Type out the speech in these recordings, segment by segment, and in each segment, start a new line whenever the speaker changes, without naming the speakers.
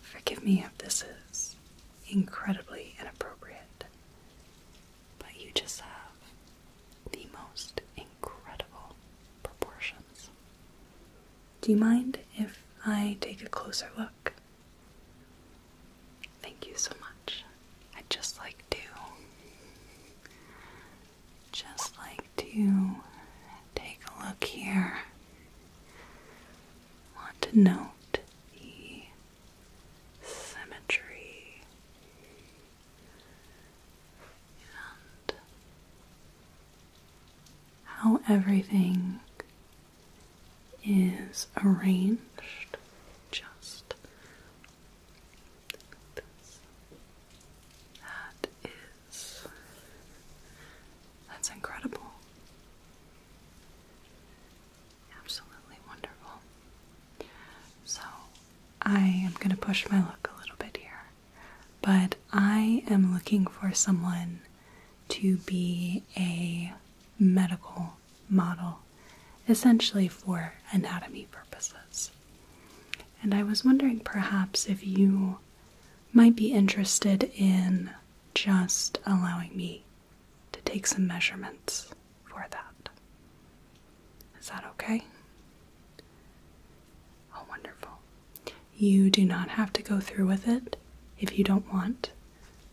Forgive me if this is incredibly inappropriate, but you just have the most incredible proportions. Do you mind if I take a closer look? Thank you so much. I'd just like to. Just like to take a look here want to note the symmetry and how everything is arranged just That is that's incredible. Absolutely wonderful. So, I am going to push my luck a little bit here, but I am looking for someone to be a medical model, essentially for anatomy purposes. And I was wondering perhaps if you might be interested in just allowing me to take some measurements for that. Is that okay? Oh, wonderful. You do not have to go through with it if you don't want.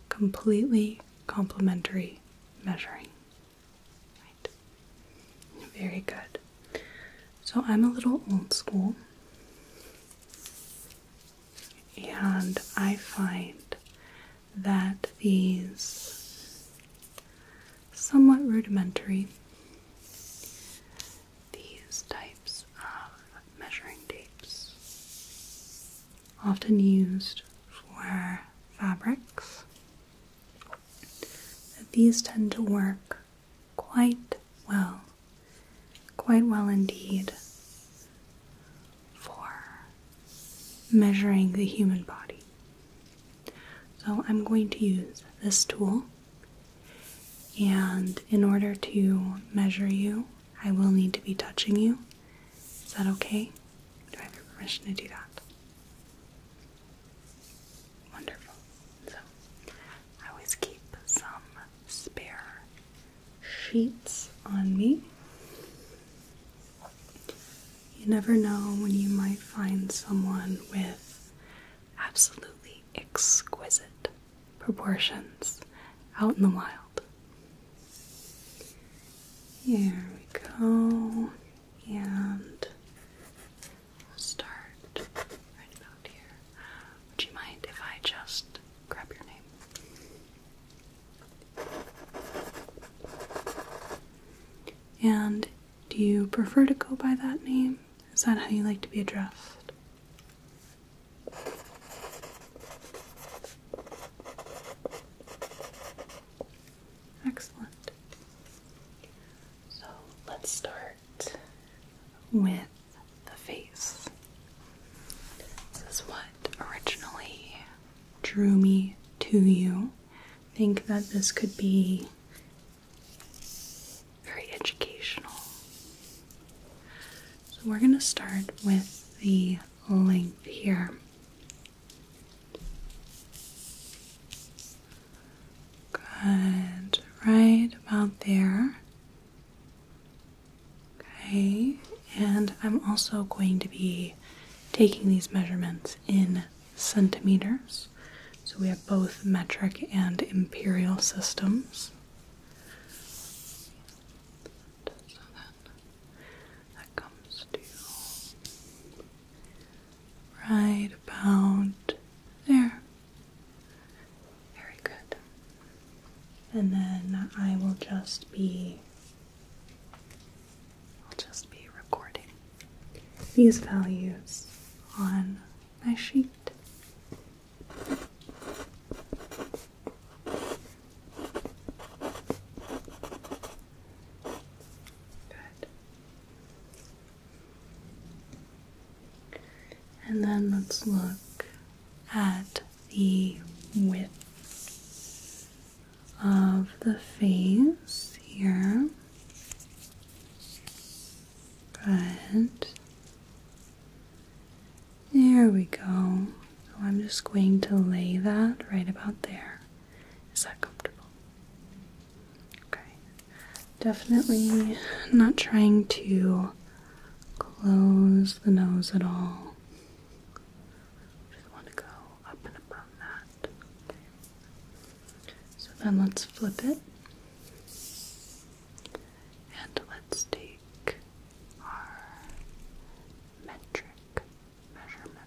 Completely complementary measuring. Right. Very good. So I'm a little old school. And I find that these somewhat rudimentary, these types of measuring tapes, often used for fabrics, these tend to work quite well quite well indeed for measuring the human body. So I'm going to use this tool, and in order to measure you, I will need to be touching you. Is that okay? Do I have your permission to do that? Wonderful. So I always keep some spare sheets on me. You never know when you might find someone with absolutely exquisite proportions out in the wild. Here we go, and we'll start right about here. Would you mind if I just grab your name. And do you prefer to go by that name? Is that how you like to be addressed? Excellent. So let's start with the face. This is what originally drew me to you. think that this could be very educational. So we're going to start with the length here. Good. Right about there. Okay, and I'm also going to be taking these measurements in centimeters. So we have both metric and imperial systems. So that, that comes to right about there. Very good. And then I will just be I'll just be recording these values on my sheet. Good. And then let's look at the width of the face here. Good. There we go. So I'm just going to lay that right about there. Is that comfortable? Okay. Definitely not trying to close the nose at all. Just want to go up and above that. Okay. So then let's flip it. And let's take our metric measurement.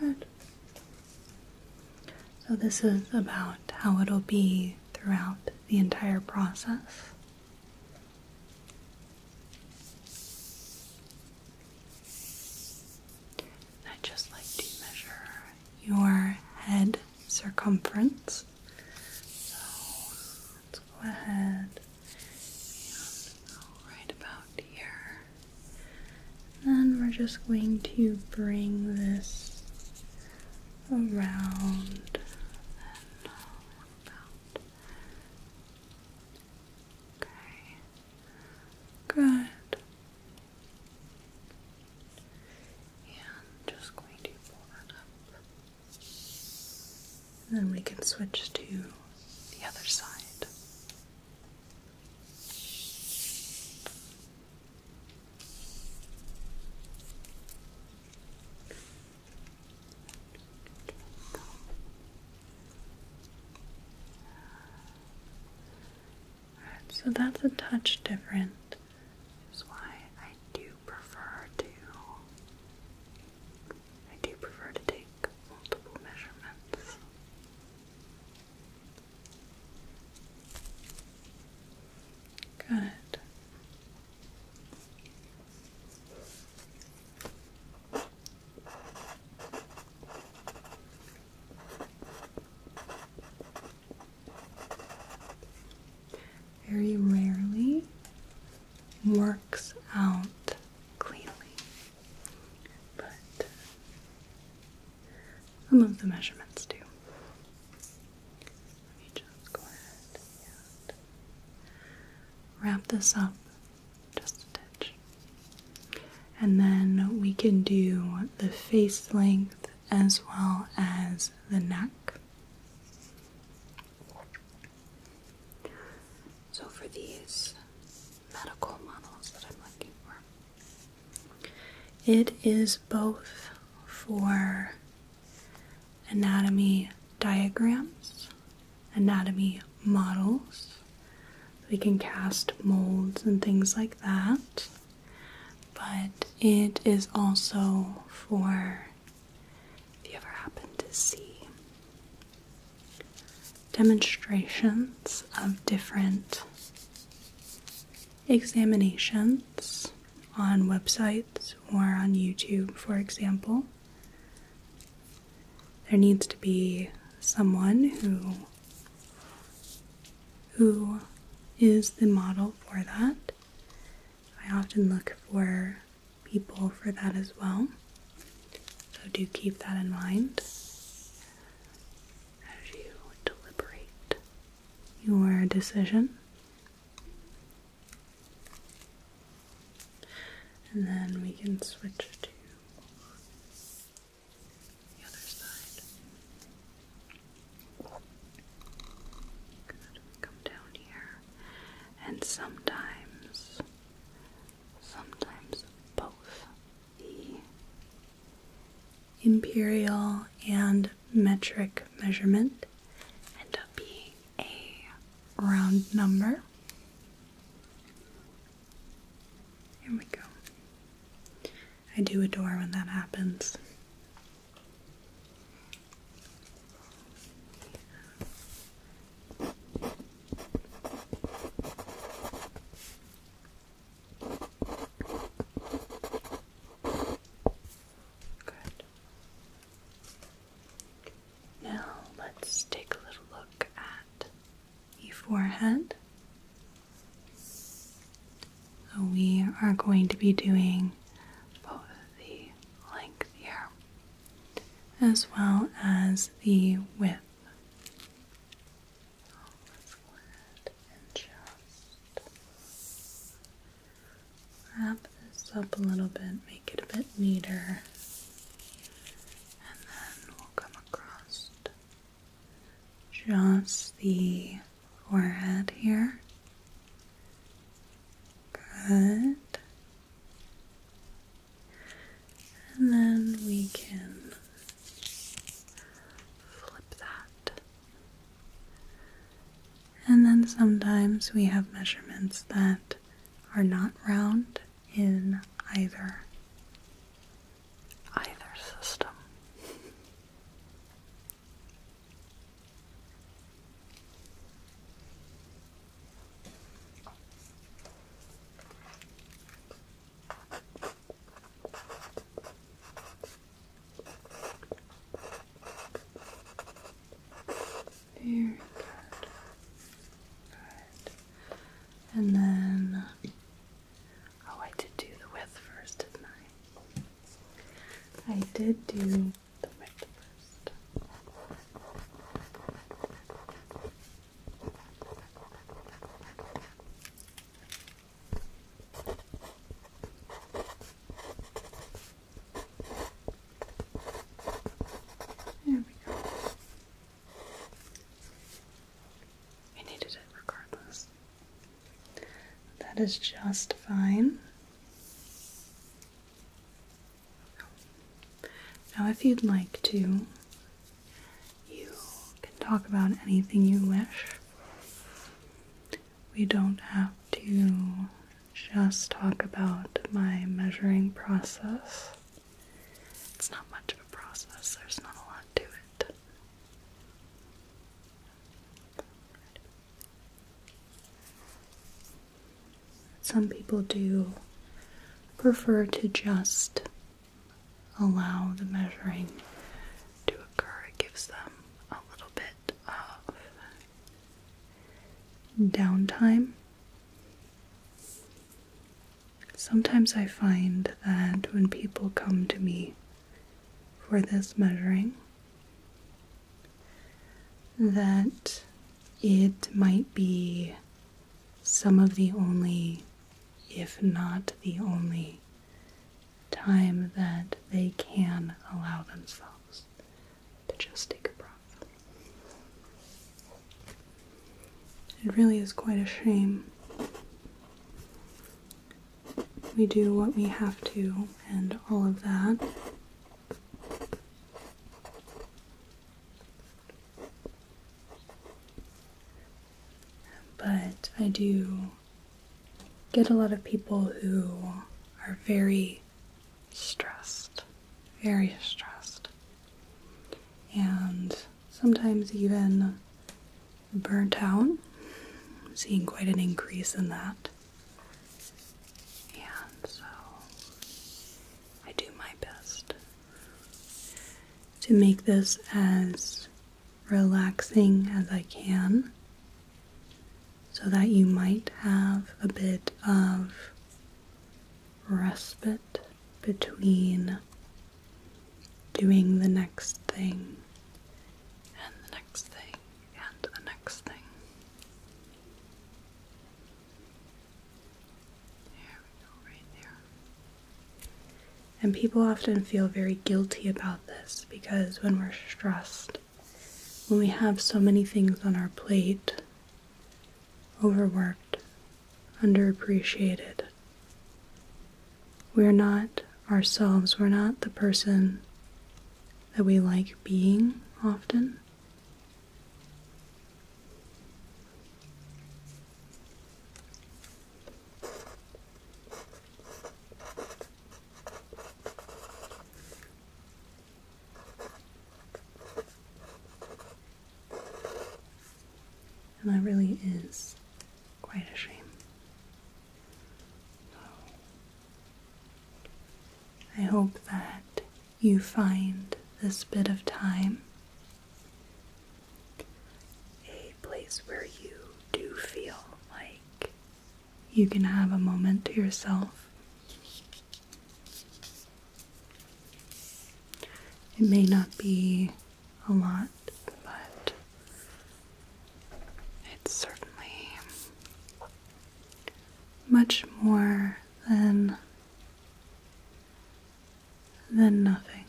Good. So, this is about how it'll be throughout the entire process i just like to measure your head circumference. So let's go ahead and go right about here. then we're just going to bring this around. Okay. Good. Yeah, just going to pull that up. And then we can switch to the other side so that's a touch different, is why I do prefer to I do prefer to take multiple measurements. Good very rarely works out cleanly, but some of the measurements too. Let me just go ahead wrap this up just a touch. And then we can do the face length as well as the neck. So, for these medical models that I'm looking for, it is both for anatomy diagrams anatomy models. We can cast molds and things like that. But it is also for if you ever happen to see demonstrations of different examinations on websites or on YouTube, for example there needs to be someone who who is the model for that. I often look for people for that as well. So do keep that in mind as you deliberate your decision. And then we can switch to the other side. Good. come down here, and sometimes, sometimes both the imperial and metric measurement end up being a round number. Here we go. I do adore when that happens. Now let's take a little look at your forehead. we are going to be doing both the length here as well as the width. wrap this up a little bit, make it a bit neater, and then come across just the forehead here. Good. And then we can flip that. And then sometimes we have measurements that are not round in either either system. Very good. Good. And then, uh, oh, I did do the width first, didn't I? I did do the width first. There we go. I needed it regardless. That is just fine. Now, if you'd like to, you can talk about anything you wish. We don't have to just talk about my measuring process. It's not much of a process, there's not a lot to it. Some people do prefer to just allow the measuring to occur. It gives them a little bit of downtime. Sometimes I find that when people come to me for this measuring, that it might be some of the only, if not the only, time that they can allow themselves to just take a breath. It really is quite a shame. We do what we have to and all of that. But I do get a lot of people who are very stressed, very stressed and sometimes even burnt out. seeing quite an increase in that. And so I do my best to make this as relaxing as I can so that you might have a bit of respite between doing the next thing and the next thing and the next thing. There we go, right there. And people often feel very guilty about this because when we're stressed, when we have so many things on our plate, overworked, underappreciated. We're not ourselves, we're not the person that we like being often. And that really is quite a shame. I hope that you find this bit of time a place where you do feel like you can have a moment to yourself it may not be a lot, but it's certainly much more than than nothing.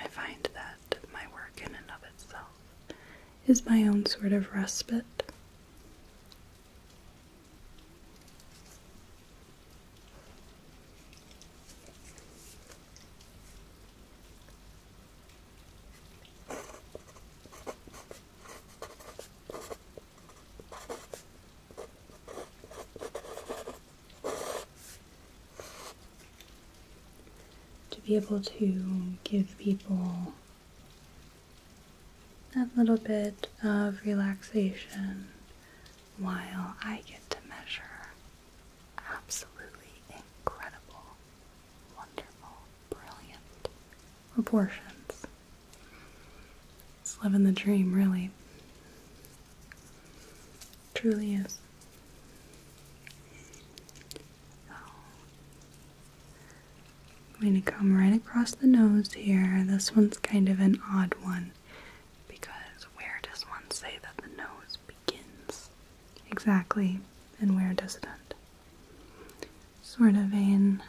I find that my work in and of itself is my own sort of respite to be able to give people that little bit of relaxation while I get to measure absolutely incredible, wonderful, brilliant proportions. It's living the dream, really. Truly is. We're going to come right across the nose here. This one's kind of an odd one because where does one say that the nose begins? Exactly, and where does it end? Sort of an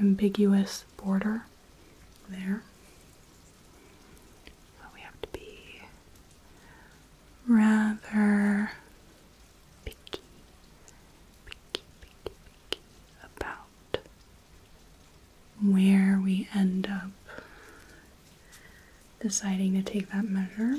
ambiguous border there. So we have to be rather picky, picky, picky, picky about where we end up deciding to take that measure.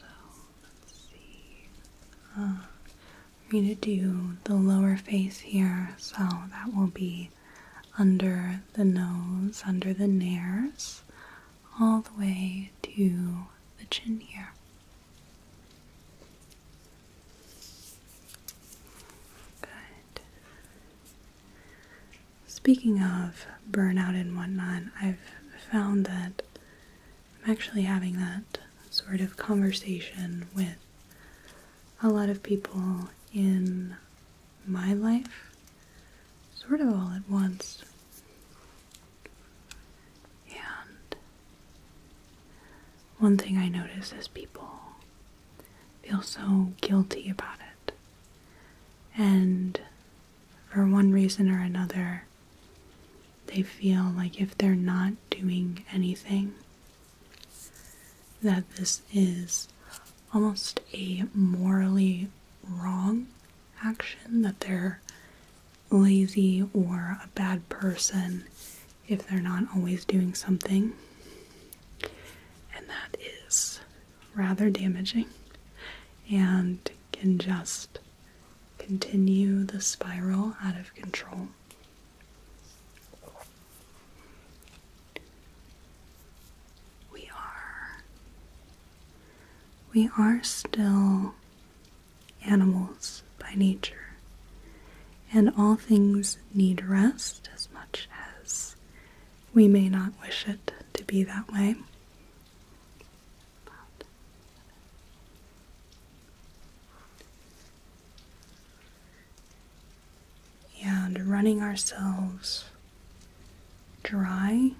So let's see. Uh, i going to do the lower face here, so that will be under the nose, under the nares, all the way to the chin here. Good. Speaking of burnout and whatnot, I've found that I'm actually having that sort of conversation with a lot of people in my life, sort of all at once. And one thing I notice is people feel so guilty about it. And for one reason or another, they feel like if they're not doing anything, that this is almost a morally wrong action, that they're lazy or a bad person if they're not always doing something. And that is rather damaging and can just continue the spiral out of control. We are we are still animals by nature, and all things need rest as much as we may not wish it to be that way. and running ourselves dry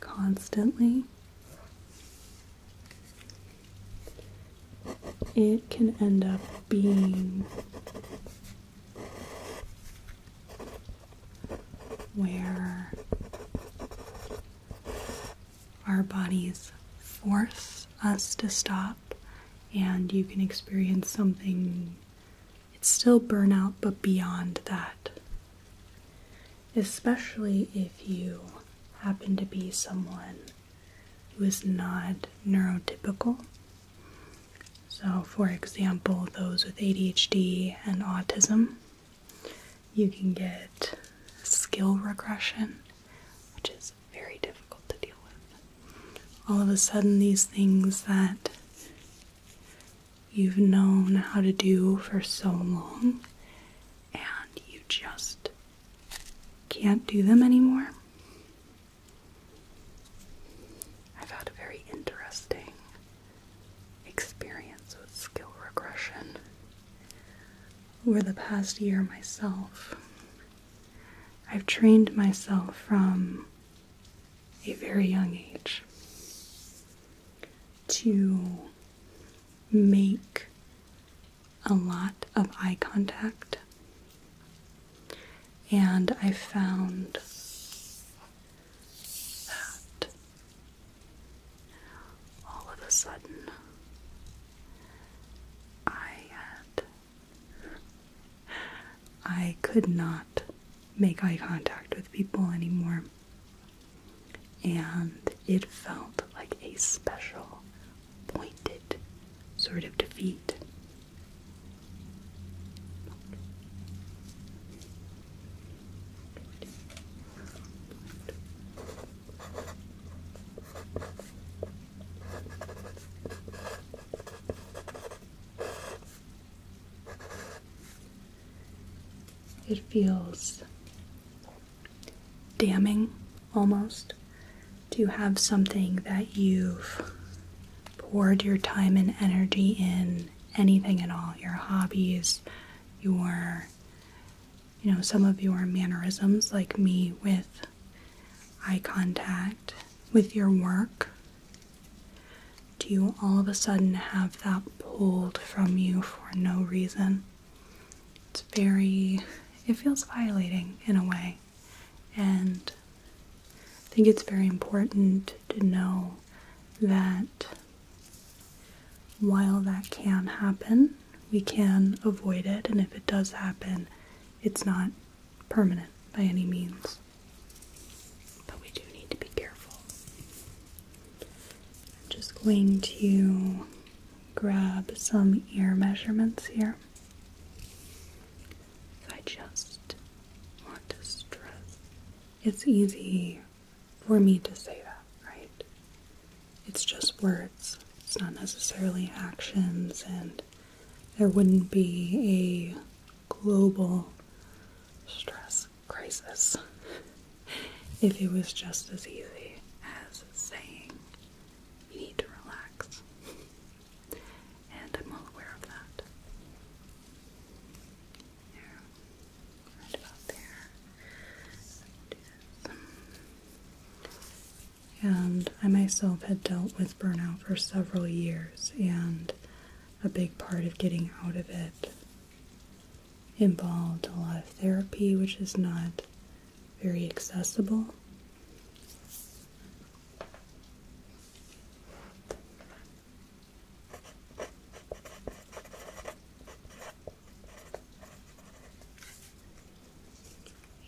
constantly, it can end up being where our bodies force us to stop, and you can experience something. It's still burnout, but beyond that. Especially if you happen to be someone who is not neurotypical so, for example, those with ADHD and autism, you can get skill regression, which is very difficult to deal with. All of a sudden, these things that you've known how to do for so long and you just can't do them anymore. I've had a very interesting experience with skill regression over the past year myself. I've trained myself from a very young age to make a lot of eye contact, and I found that all of a sudden I I could not make eye contact with people anymore. And it felt like a special, pointed sort of defeat it feels damning almost to have something that you've poured your time and energy in anything at all your hobbies, your, you know, some of your mannerisms, like me with eye contact, with your work. Do you all of a sudden have that pulled from you for no reason? It's very, it feels violating in a way. And I think it's very important to know that while that can happen, we can avoid it, and if it does happen, it's not permanent by any means. But we do need to be careful. I'm just going to grab some ear measurements here. I just want to stress it's easy for me to say that, right? It's just words, it's not necessarily actions, and there wouldn't be a global stress crisis if it was just as easy as saying you need to relax. and I'm well aware of that. And I myself had dealt with burnout for several years, and a big part of getting out of it involved a lot of therapy, which is not very accessible.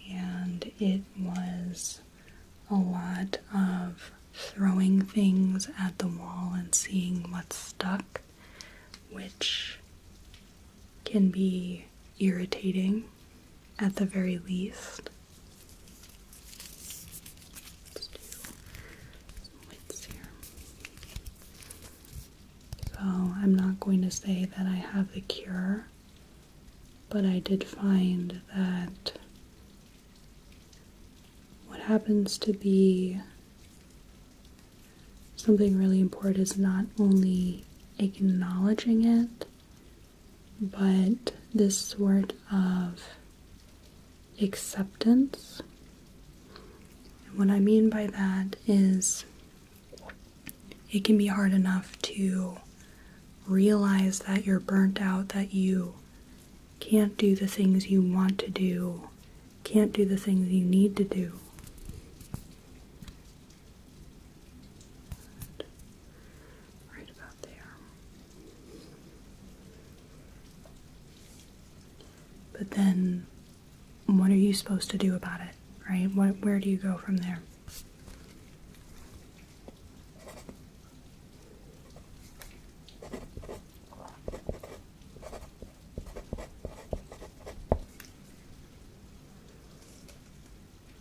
And it was a lot of throwing things at the wall and seeing what stuck, which can be irritating at the very least. So I'm not going to say that I have the cure, but I did find that what happens to be something really important is not only acknowledging it, but this sort of acceptance. And what I mean by that is it can be hard enough to realize that you're burnt out, that you can't do the things you want to do, can't do the things you need to do. But then, what are you supposed to do about it, right? where do you go from there?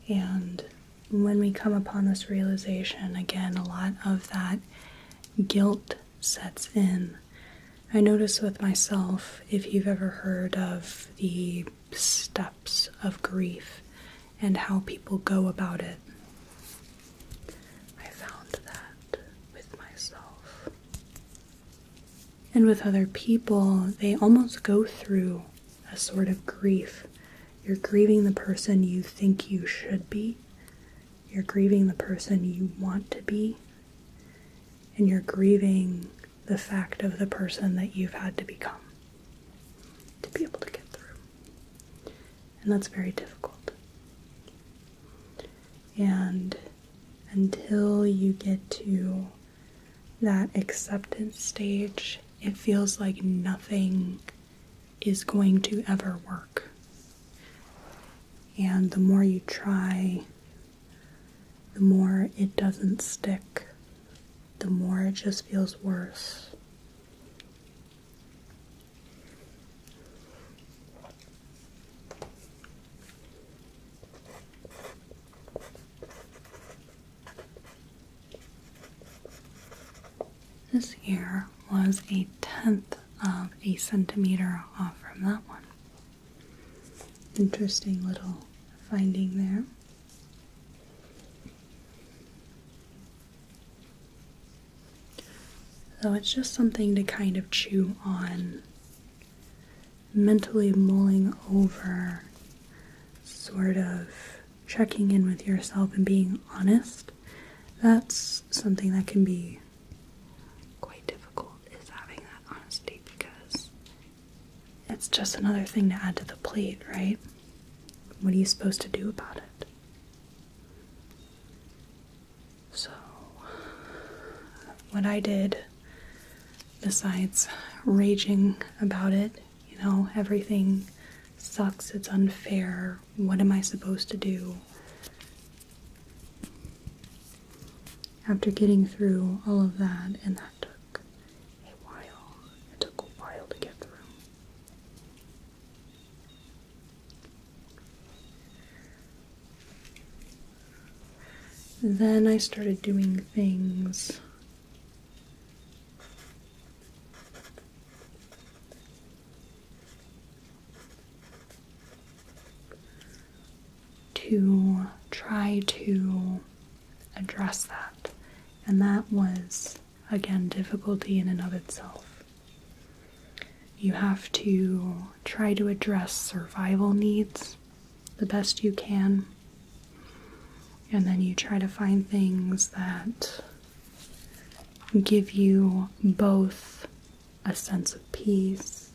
And when we come upon this realization, again, a lot of that guilt sets in. I notice with myself, if you've ever heard of the steps of grief and how people go about it, I found that with myself. And with other people, they almost go through a sort of grief. You're grieving the person you think you should be, you're grieving the person you want to be, and you're grieving the fact of the person that you've had to become to be able to get through. And that's very difficult. And until you get to that acceptance stage, it feels like nothing is going to ever work. And the more you try, the more it doesn't stick, the more it just feels worse. This ear was a tenth of a centimeter off from that one. Interesting little finding there. So it's just something to kind of chew on, mentally mulling over, sort of checking in with yourself and being honest that's something that can be quite difficult is having that honesty because it's just another thing to add to the plate, right? What are you supposed to do about it? So, what I did, besides raging about it, you know, everything sucks, it's unfair, what am I supposed to do? After getting through all of that, and that took a while, it took a while to get through. Then I started doing things to try to address that. And that was, again, difficulty in and of itself. You have to try to address survival needs the best you can. And then you try to find things that give you both a sense of peace,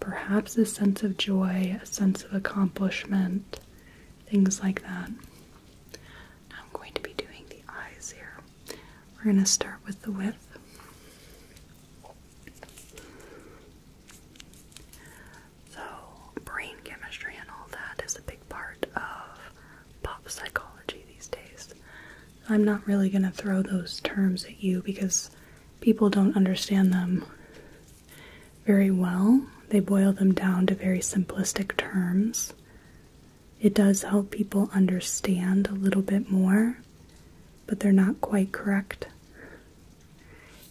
perhaps a sense of joy, a sense of accomplishment, things like that. I'm going to be doing the eyes here. We're going to start with the width. So, brain chemistry and all that is a big part of pop psychology these days. I'm not really going to throw those terms at you because people don't understand them very well. They boil them down to very simplistic terms. It does help people understand a little bit more, but they're not quite correct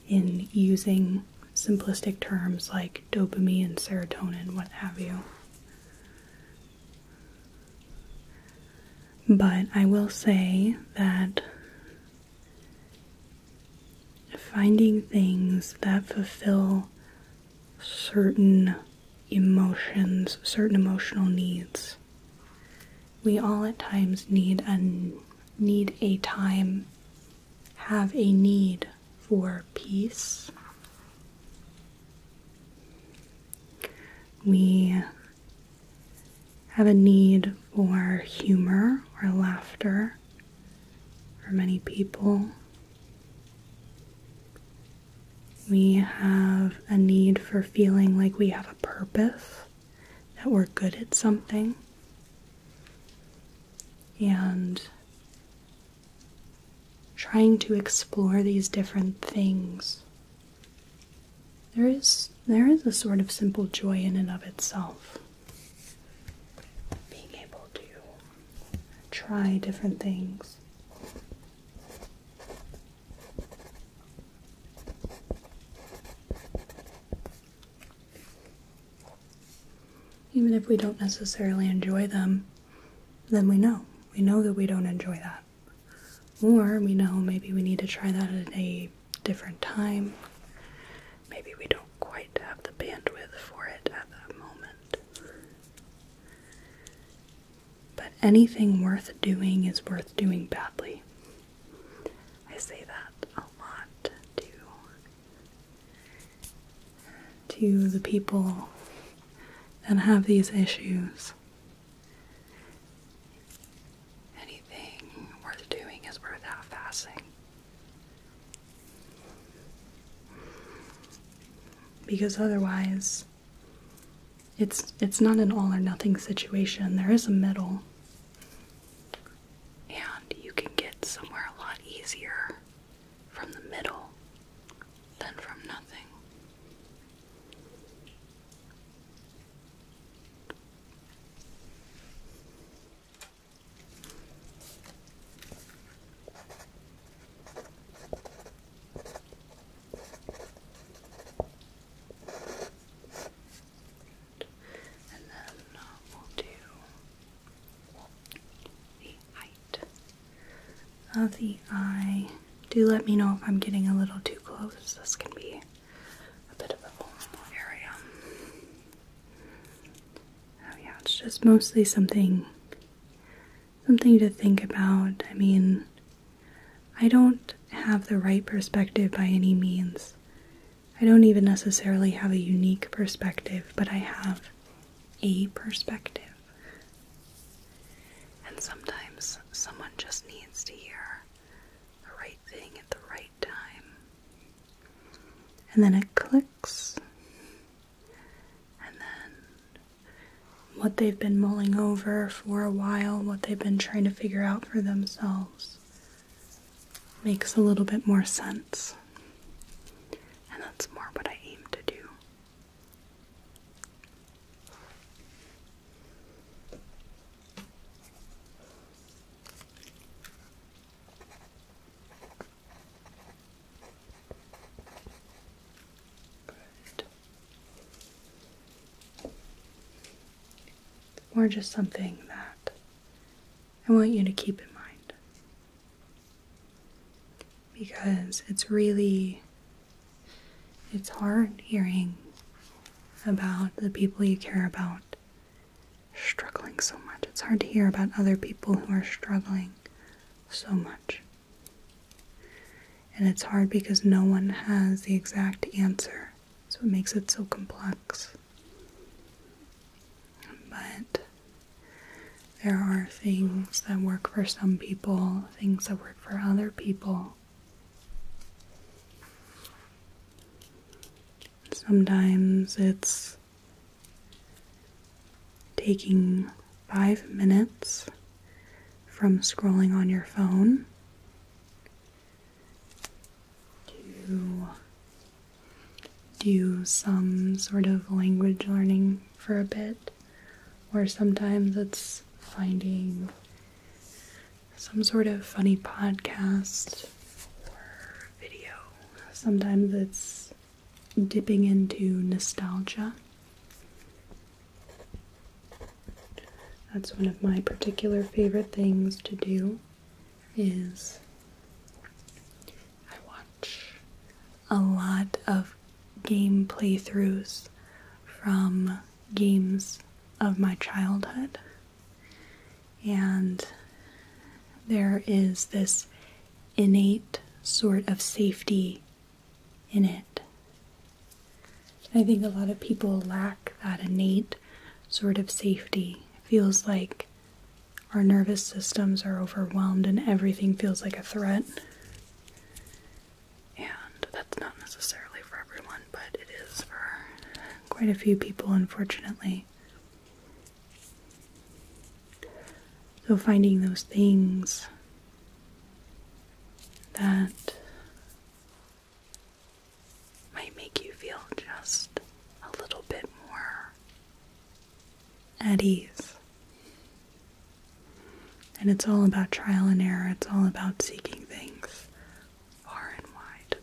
in using simplistic terms like dopamine, serotonin, what have you. But I will say that finding things that fulfill certain emotions, certain emotional needs. We all at times need a need a time have a need for peace, we have a need for humor or laughter for many people. We have a need for feeling like we have a purpose, that we're good at something. And trying to explore these different things there is there is a sort of simple joy in and of itself being able to try different things even if we don't necessarily enjoy them then we know. We know that we don't enjoy that. Or we know maybe we need to try that at a different time. Maybe we don't quite have the bandwidth for it at that moment. But anything worth doing is worth doing badly. I say that a lot to to the people and have these issues. Anything worth doing is worth half fasting. Because otherwise it's it's not an all or nothing situation. There is a middle. And you can get somewhere a lot easier from the middle than from nothing. And then uh, we'll do the height of the eye. Do let me know if I'm getting a little too close. This can be a bit of a vulnerable area. Oh yeah, it's just mostly something something to think about. I mean, I don't have the right perspective by any means. I don't even necessarily have a unique perspective, but I have a perspective. And sometimes someone just needs to hear the right thing at the right time. And then it clicks. And then what they've been mulling over for a while, what they've been trying to figure out for themselves, makes a little bit more sense. And that's more what I aim to do. Good. Or just something that I want you to keep in mind because it's really it's hard hearing about the people you care about struggling so much. It's hard to hear about other people who are struggling so much. And it's hard because no one has the exact answer, so it makes it so complex. But there are things that work for some people, things that work for other people. Sometimes it's taking five minutes from scrolling on your phone to do some sort of language learning for a bit or sometimes it's finding some sort of funny podcast or video. Sometimes it's dipping into nostalgia. That's one of my particular favorite things to do is I watch a lot of game playthroughs from games of my childhood. And there is this innate sort of safety in it. I think a lot of people lack that innate sort of safety. feels like our nervous systems are overwhelmed and everything feels like a threat and that's not necessarily for everyone, but it is for quite a few people, unfortunately. So, finding those things that might make you feel just a little bit more at ease and it's all about trial and error, it's all about seeking things far and wide.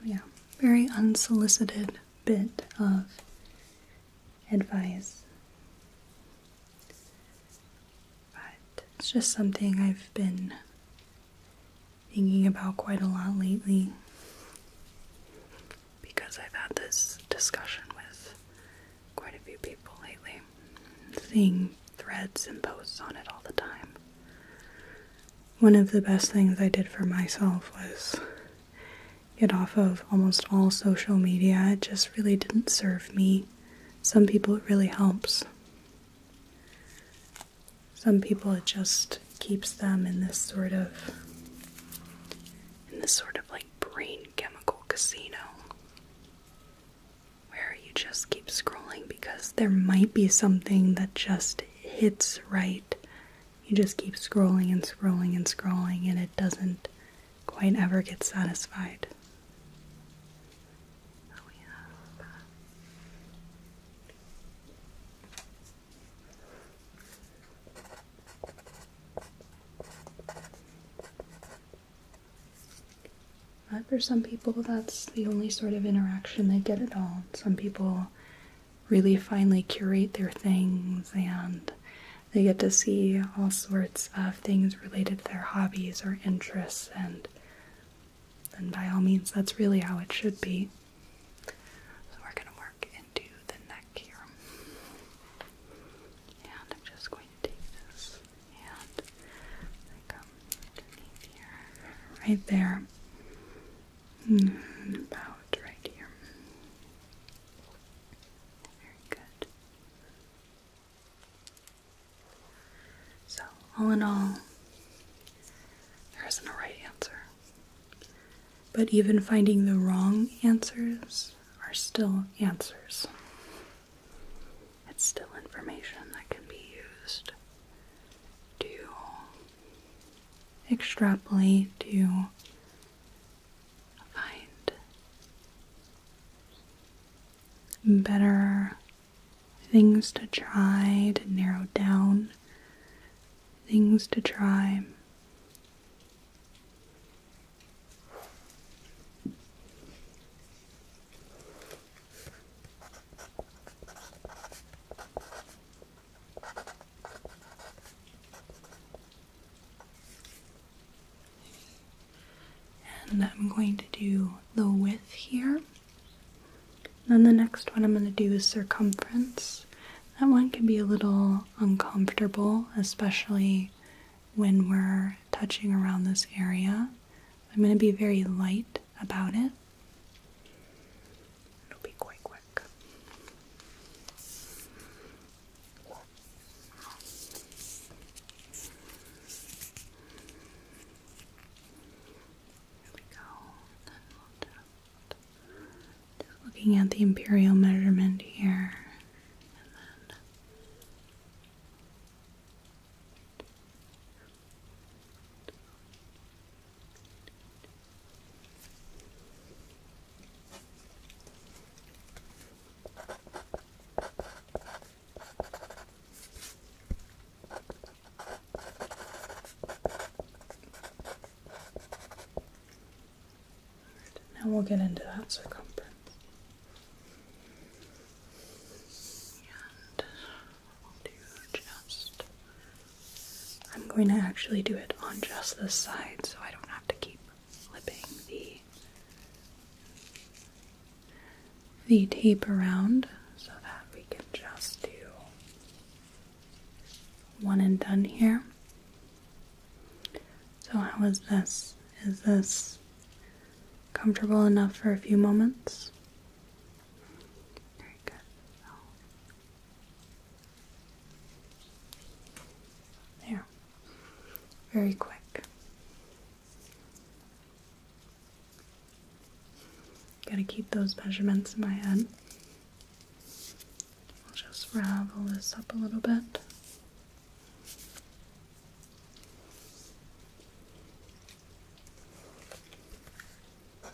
Oh, yeah, very unsolicited bit of advice. But it's just something I've been thinking about quite a lot lately because I've had this discussion with quite a few people lately, seeing threads and posts on it all the time. One of the best things I did for myself was get off of almost all social media. It just really didn't serve me. Some people it really helps. Some people it just keeps them in this sort of in this sort of like brain chemical casino where you just keep scrolling because there might be something that just hits right. You just keep scrolling and scrolling and scrolling, and it doesn't quite ever get satisfied. Oh, but for some people, that's the only sort of interaction they get at all. Some people really finely curate their things and they get to see all sorts of things related to their hobbies or interests and then by all means that's really how it should be. So we're going to work into the neck here. And I'm just going to take this and like um, underneath here, right there, mm-hmm. about right here. Very good. So, all in all, there isn't a right answer. But even finding the wrong answers are still answers. It's still information that can be used to extrapolate, to find better things to try, to narrow down things to try. And I'm going to do the width here. Then the next one I'm going to do is circumference. That one can be a little uncomfortable, especially when we're touching around this area. I'm going to be very light about it. It'll be quite quick. There we go. just, looking at the imperial measurement here. Now we'll get into that circumference i I'm going to actually do it on just this side so I don't have to keep flipping the the tape around so that we can just do one and done here. So how is this? Is this comfortable enough for a few moments? Very good. There. Very quick. Gotta keep those measurements in my head. I'll just ravel this up a little bit. Now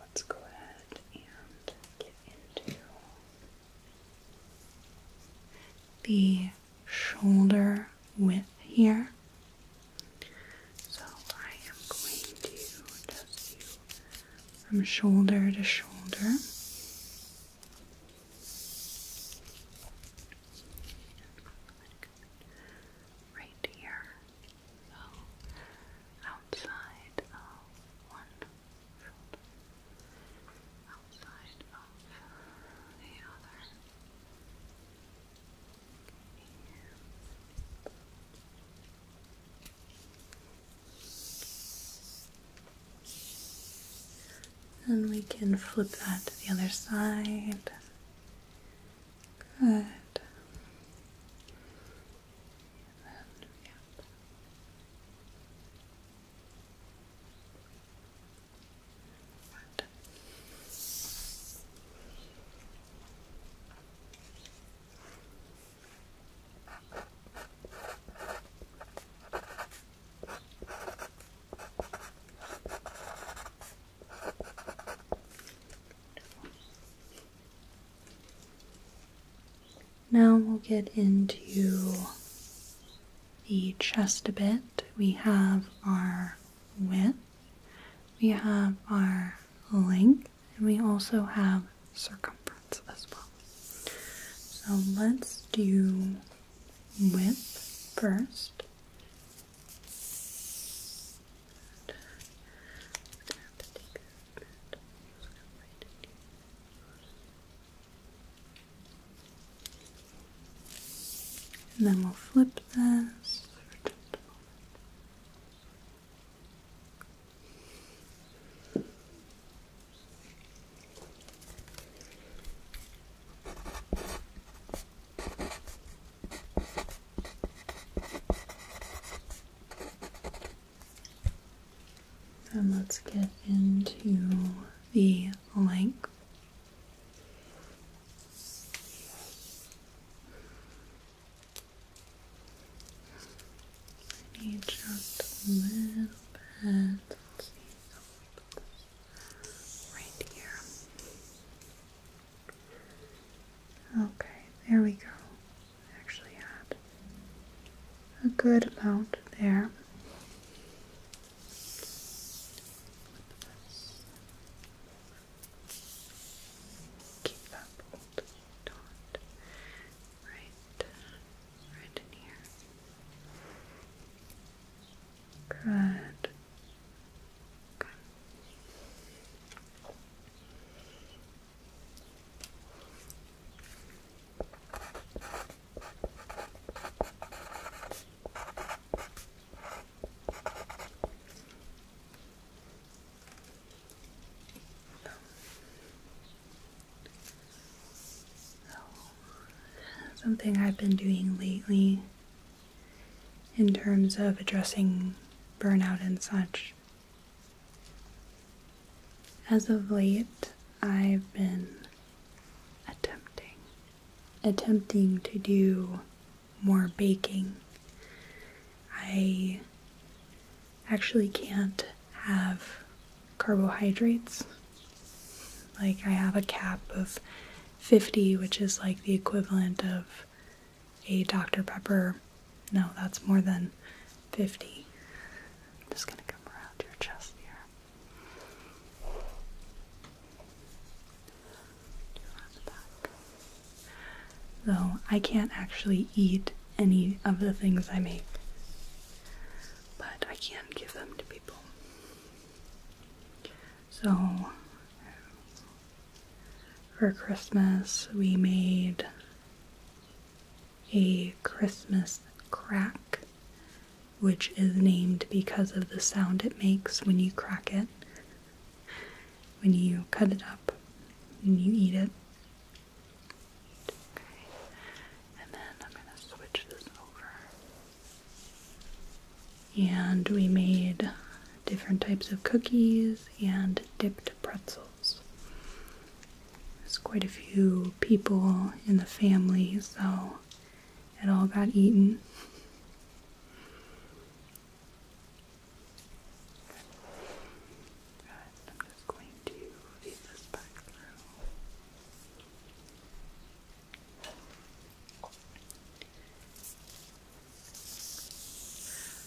let's go ahead and get into the shoulder with here. So I am going to just you from shoulder to shoulder. Right here. So outside of one outside of the other. And we can flip that to the other side. Good. Now we'll get into the chest a bit. We have our width. We have our length and we also have circumference as well. So let's do width first. And then we'll flip this. And let's get into the length I need just a little Right here. Okay, there we go. Actually, had a good amount there. Keep up old dot right, right in here. Good. Good something I've been doing lately in terms of addressing burnout and such. As of late, I've been attempting attempting to do more baking. I actually can't have carbohydrates. Like, I have a cap of 50, which is like the equivalent of a Dr. Pepper. No, that's more than 50. just gonna come around your chest here. Two Though I can't actually eat any of the things I make, but I can give them to people. So for Christmas, we made a Christmas crack, which is named because of the sound it makes when you crack it when you cut it up and you eat it. and then I'm going to switch this over. And we made different types of cookies and dipped pretzels. There's quite a few people in the family, so it all got eaten. I'm just going to feed this back through.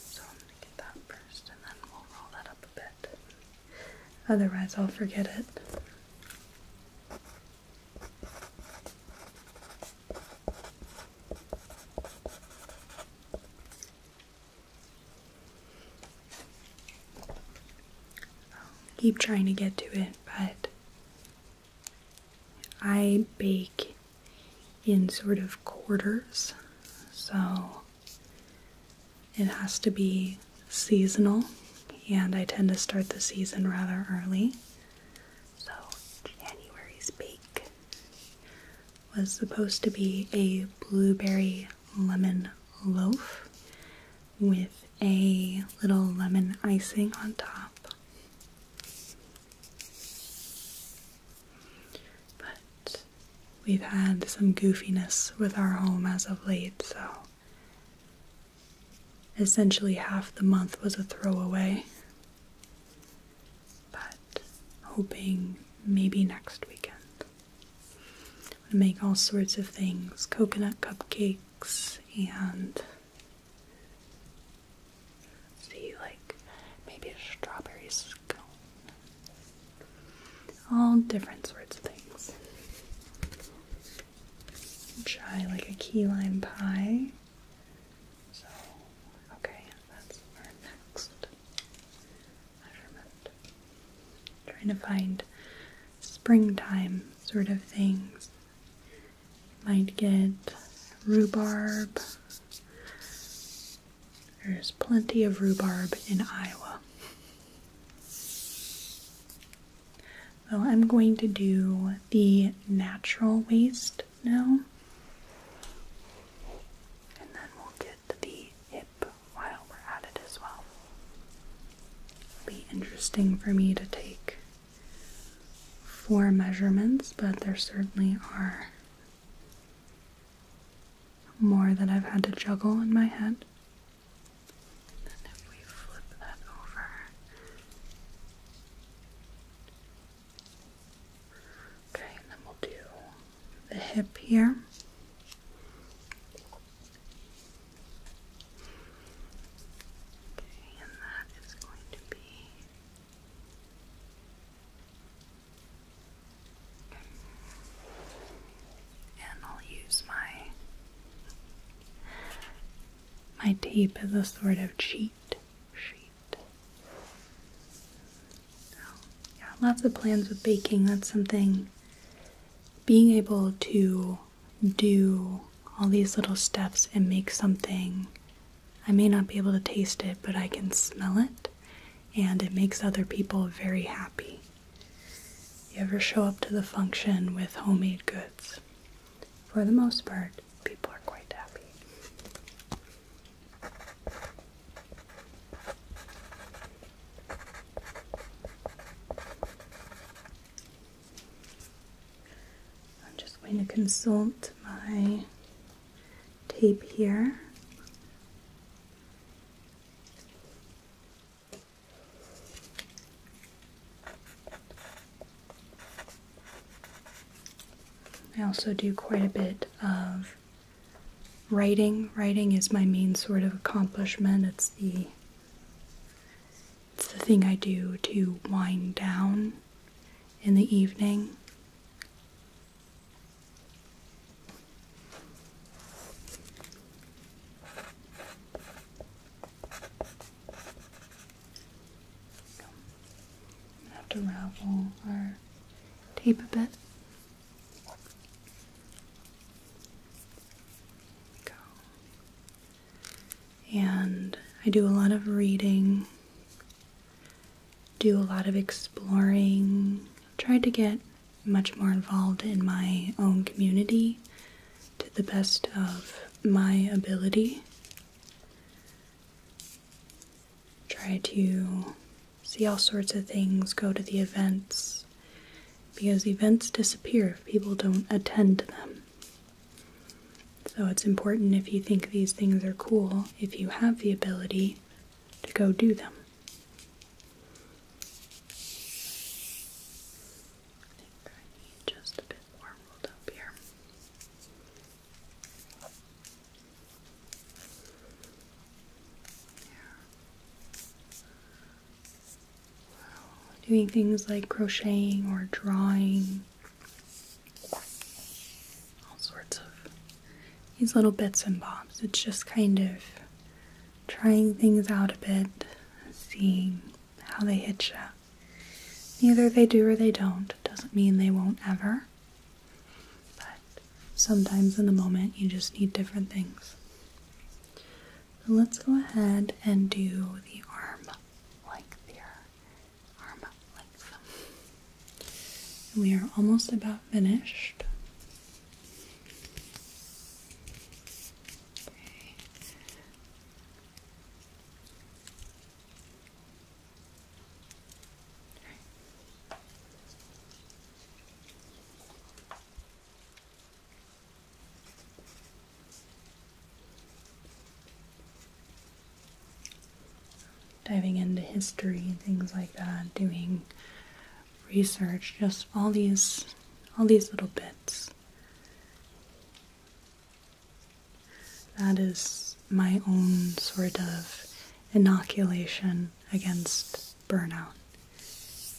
So I'm going to get that first and then we'll roll that up a bit. Otherwise, I'll forget it keep trying to get to it, but I bake in sort of quarters, so it has to be seasonal, and I tend to start the season rather early. So, January's bake was supposed to be a blueberry lemon loaf with a little lemon icing on top. But we've had some goofiness with our home as of late, so essentially half the month was a throwaway but hoping maybe next weekend. to make all sorts of things coconut cupcakes and see, like maybe a strawberry scone. All different sorts of things. Try like a key lime pie. So, okay, that's our next measurement. Trying to find springtime sort of things. might get rhubarb. There's plenty of rhubarb in Iowa. So I'm going to do the natural waste now. And then we'll get the hip while we're at it as well. It'll be interesting for me to take four measurements, but there certainly are more that I've had to juggle in my head. And if we flip that over, Okay, and then we'll do the hip here. Okay, and that is going to be. And I'll use my my tape as a sort of cheat sheet lots of plans with baking. That's something being able to do all these little steps and make something. I may not be able to taste it, but I can smell it, and it makes other people very happy. You ever show up to the function with homemade goods? for the most part, people are quite happy. I'm just going to consult my tape here. I also do quite a bit of writing. Writing is my main sort of accomplishment. It's the it's the thing I do to wind down in the evening i have to ravel our tape a bit. Go. And I do a lot of reading, do a lot of exploring, Try to get much more involved in my own community to the best of my ability try to see all sorts of things, go to the events, because events disappear if people don't attend them. So it's important if you think these things are cool, if you have the ability, to go do them. just a bit more rolled up here doing things like crocheting or drawing, all sorts of these little bits and bobs. It's just kind of trying things out a bit, seeing how they hit you. Either they do or they don't. Doesn't mean they won't ever. But sometimes in the moment, you just need different things. So let's go ahead and do the arm length here. Arm length. we are almost about finished. Okay. Diving into history, things like that, doing research, just all these all these little bits. That is my own sort of inoculation against burnout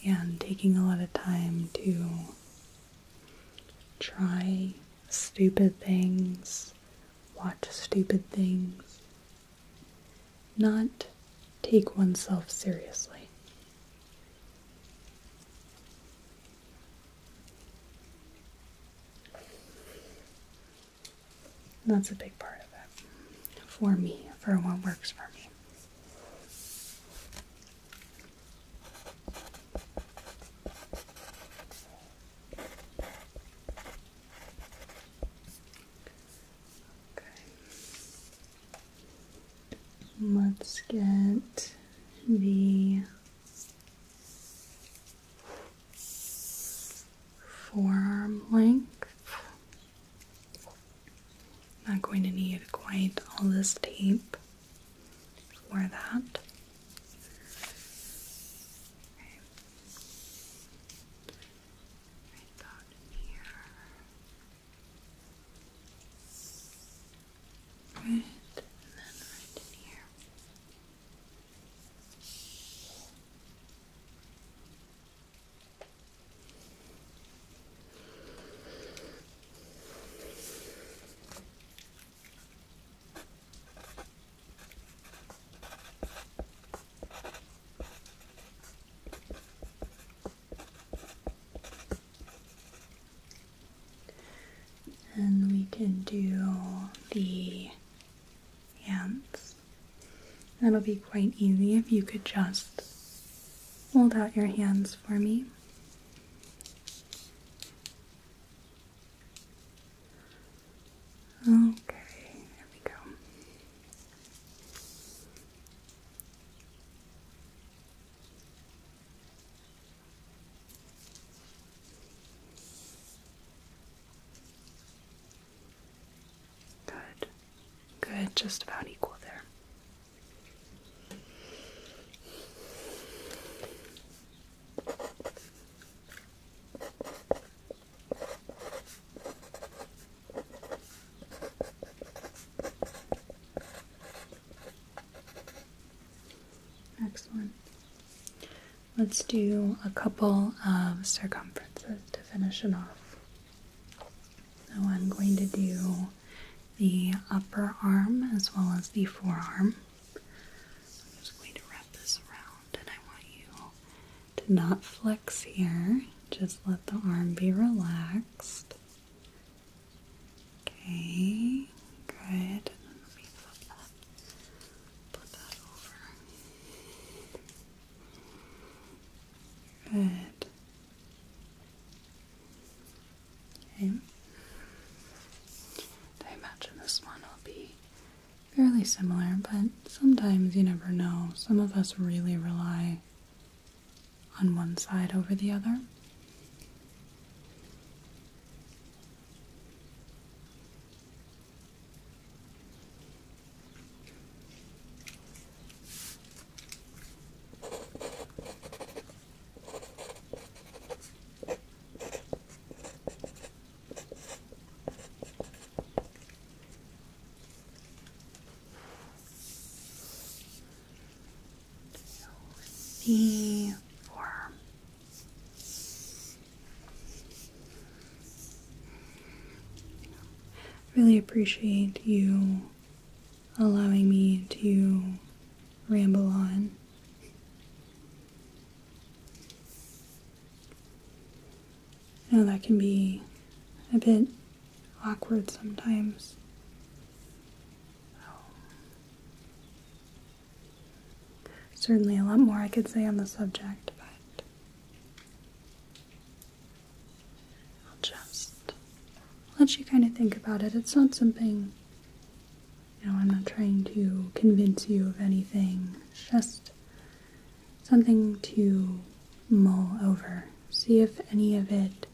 and taking a lot of time to try stupid things, watch stupid things, not take oneself seriously that's a big part of it for me, for what works for me. Okay. Let's get the forearm length. Not going to need quite all this tape for that. Right about here. Right, and then right here. And we can do the hands. That'll be quite easy if you could just hold out your hands for me. Okay, there we go. Good. Good, just about equal there. Next one. Let's do a couple of circumferences to finish it off. So I'm going to do the upper arm as well as the forearm. I'm just going to wrap this around and I want you to not flex here. Just let the arm be relaxed. Okay, good. Put that over. Good. Okay. I imagine this one will be fairly similar, but sometimes you never know. Some of us really rely on one side over the other. The worm Really appreciate you allowing me to ramble on. I that can be a bit awkward sometimes. Certainly, a lot more I could say on the subject, but I'll just let you kind of think about it. It's not something, you know, I'm not trying to convince you of anything, it's just something to mull over. See if any of it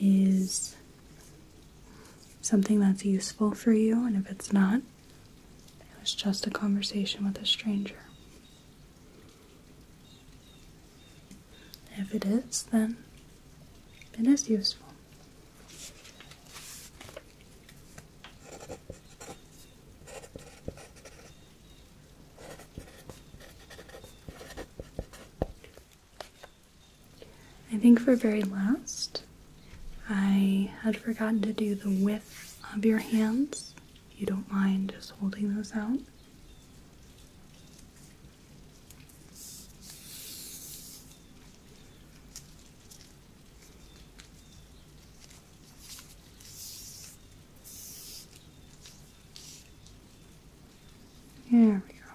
is something that's useful for you, and if it's not, it was just a conversation with a stranger. If it is, then it is useful. I think for very last, I had forgotten to do the width of your hands. you don't mind just holding those out. There we go.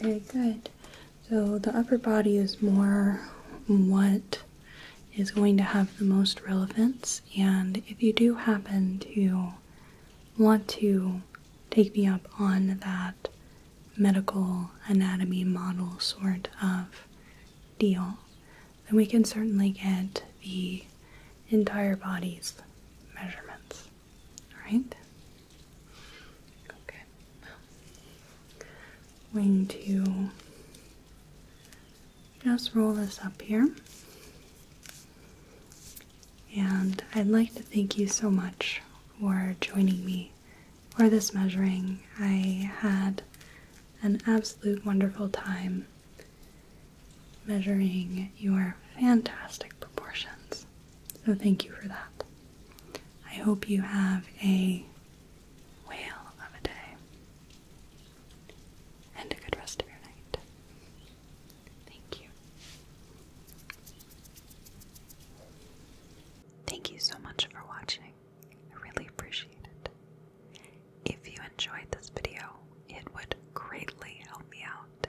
Very good. So the upper body is more what is going to have the most relevance, and if you do happen to want to take me up on that medical anatomy model sort of deal, then we can certainly get the entire body's measurements. All right? Okay, well, going to just roll this up here. And I'd like to thank you so much for joining me for this measuring. I had an absolute wonderful time measuring your fantastic proportions. So thank you for that. I hope you have a whale of a day and a good rest of your night. Thank you. Thank you so much for watching. I really appreciate it. If you enjoyed this video, it would greatly help me out